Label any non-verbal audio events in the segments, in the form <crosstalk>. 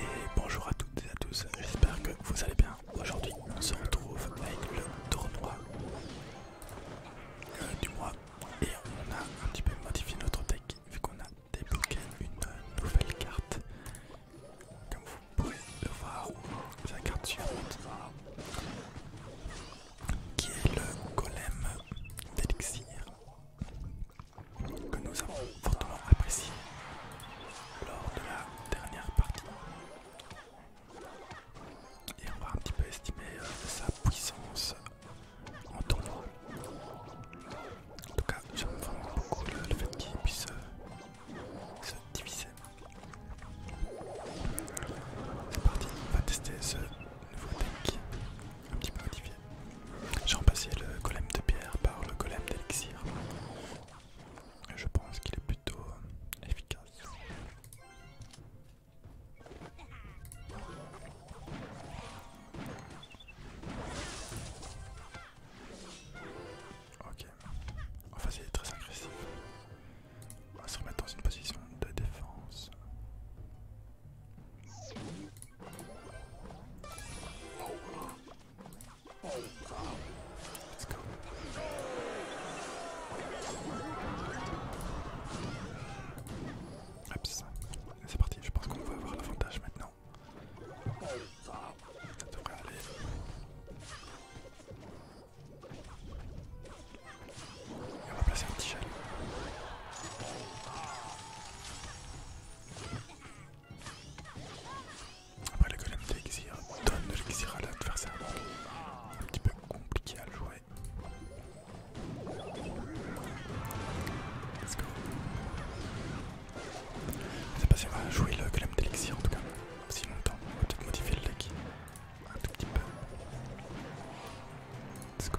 Et bonjour à toutes et à tous, j'espère que vous allez bien. Aujourd'hui on se retrouve avec le tournoi euh, du mois et on a un petit peu modifié notre deck vu qu'on a débloqué une nouvelle carte. Comme vous pouvez le voir, C'est la carte suivante qui est le golem d'élixir que nous avons fortement apprécié lors de la dernière partie. Et on va un petit peu estimer euh, sa puissance en tournoi. En tout cas, j'aime vraiment beaucoup le, fait qu'il puisse euh, se diviser. C'est parti, on va tester ce nouveau deck un petit peu modifié. J'ai remplacé le golem de pierre par le golem d'élixir. Je pense qu'il est plutôt euh, efficace. Ok, enfin c'est très agressif. On va se remettre dans une position de défense. Let's ah, go. C'est parti, je pense qu'on va avoir l'avantage maintenant. Et on va placer un petit gel. Après le golem d'Elixir donne de l'Elixir à l'adversaire, donc un petit peu compliqué à le jouer. Let's go. Je sais pas si on va jouer le golem d'Elixir en tout cas, aussi longtemps. On va peut-être modifier le deck un tout petit peu. Let's go.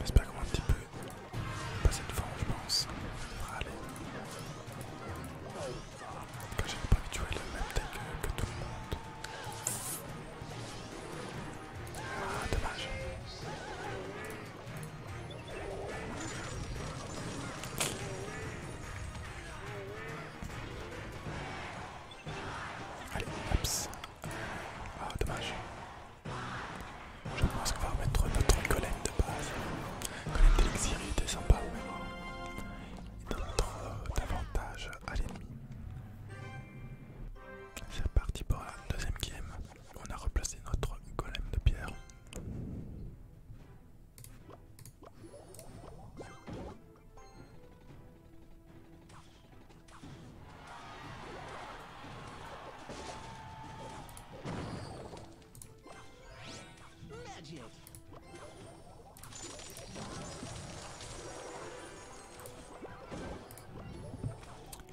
J'espère qu'on va un petit peu passer devant, je pense. Allez. J'aime aller. Quand tu pas habitué le même tête que, que tout le monde. Ah, dommage. Allez, ups, Ah, dommage. Je pense qu'on va remettre notre Colette de base. Colette d'élixir, il était sympa, mais bon. Il donne davantage à l'ennemi. C'est reparti pour la deuxième game on a replacé notre golem de pierre.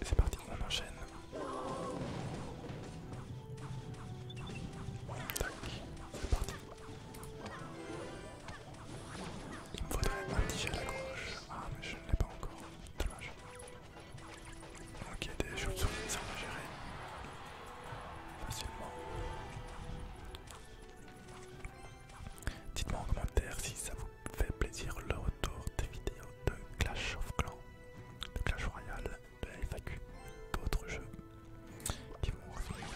C'est parti, on enchaîne. Tac, c'est parti. Il me faudrait un tige à la gauche. Ah, mais je ne l'ai pas encore. Dommage. Ok, des chauves ça va gérer. Facilement. Dites-moi en commentaire si ça vous fait plaisir le retour des vidéos de Clash of Clans. Clash Royale, de la FAQ, d'autres jeux qui vont revenir.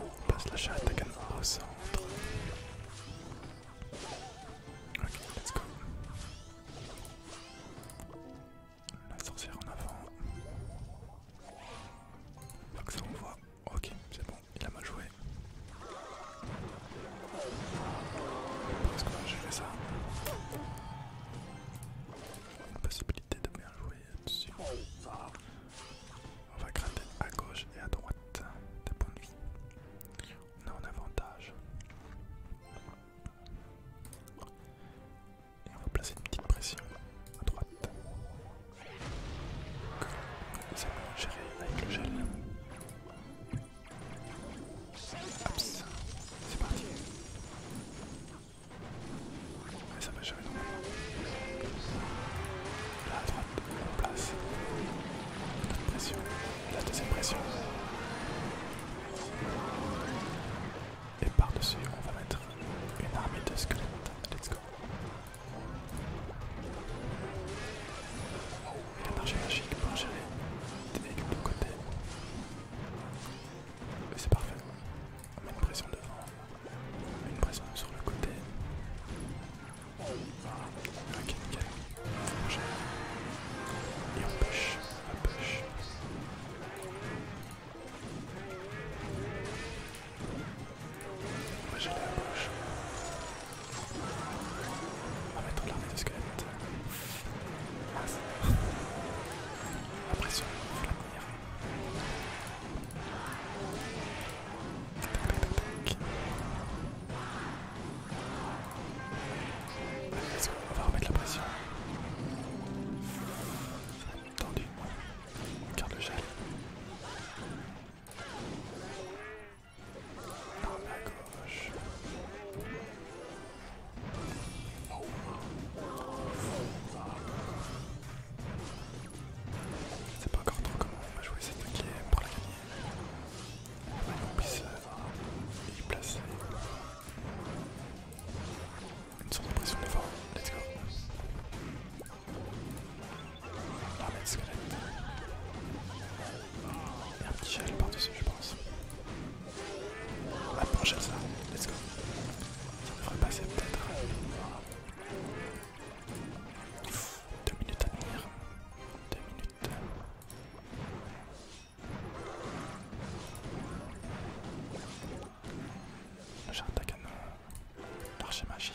On passe la chatte à au centre. Ok, let's go. La sorcière en avant. Faut que ça voit. Ok, c'est bon, il a mal joué. ce qu'on va gérer ça. Une possibilité de bien jouer dessus. On va gratter à gauche et à droite des points de vie. On a un avantage. Et on va placer une petite pression à droite. C'est va gérer avec le gel. C'est parti. Et ça va jamais la Là droite, place. La deuxième pression. Et par-dessus, on va mettre une armée de squelettes. Let's go. Oh, il a marché magique pour gérer des véhicules de côté. C'est parfait. On met une pression devant, on met une pression sur le côté. Voilà. Ok, nickel. Et on pêche, on pêche. va gérer la gauche. On va mettre l'armée de squelette. Ah, la pression, faut la tenir. Tac, tac, tac, tac. on va remettre la pression. Tendu, On garde le gel la C'est pas encore trop comment on va jouer cette game pour la gagner. On puisse y euh, placer une sorte de pression d'effort, Let's go. Ah, mais le squelette. Il y a un petit gel par-dessus, je pense. On va pencher ça. Let's go. Ça devrait passer peut-être. 2 minutes à venir. 2 minutes. J'ai un canon d'archer magique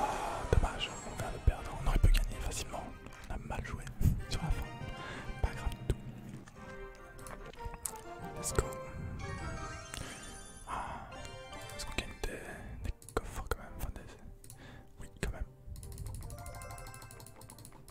Ah, dommage, on vient de perdre, on aurait pu gagner facilement, on a mal joué <laughs> sur la fin, pas grave tout. Let's go. Ah, est-ce qu'on gagne des, coffres quand même Oui, quand même.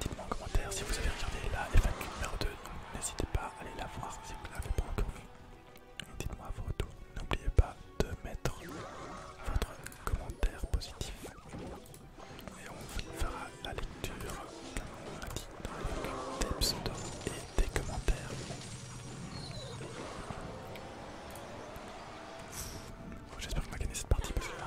Dites-moi en commentaire si vous avez regardé la FAQ numéro 2, n'hésitez pas à aller la voir si vous l'avez pas encore vue. Dites-moi vos retours, n'oubliez pas de mettre votre commentaire positif et on fera la lecture, comme on dit, dans des pseudos et des commentaires. J'espère que vous m'avez gagné cette partie parce que là,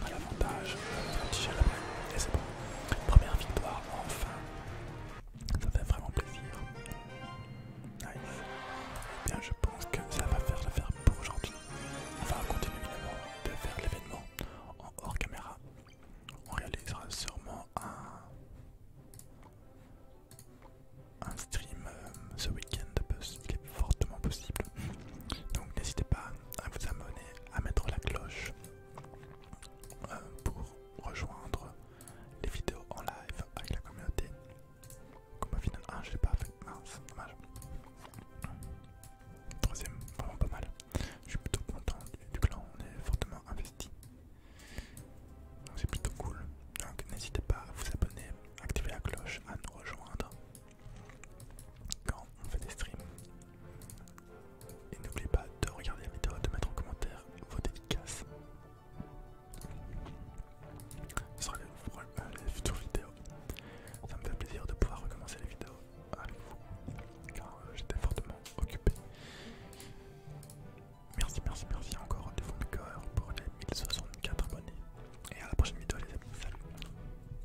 On a l'avantage, un petit et c'est bon. Première victoire, enfin. Ça fait vraiment plaisir. Nice. Eh bien, je pense que ça va faire le faire pour aujourd'hui. On va continuer de faire l'événement en hors caméra. On réalisera sûrement un, stream euh, ce week-end, qui est fortement possible. Donc n'hésitez pas à vous abonner à mettre la cloche euh, pour rejoindre les vidéos en live avec la communauté. Comme au final, ah, je l'ai pas fait, dommage. Troisième, vraiment pas mal. Je suis plutôt content du clan, on est fortement investi. C'est plutôt cool. Donc n'hésitez pas à vous abonner, activer la cloche, à nous rejoindre quand on fait des streams. Et n'oubliez pas de regarder la vidéo, de mettre en commentaire vos dédicaces sur les, euh, les futures vidéos. Ça me fait plaisir de pouvoir recommencer les vidéos avec vous car euh, j'étais fortement occupé. Merci, merci, merci encore de fond du cœur pour les 1064 abonnés. Et à la prochaine vidéo les amis, salut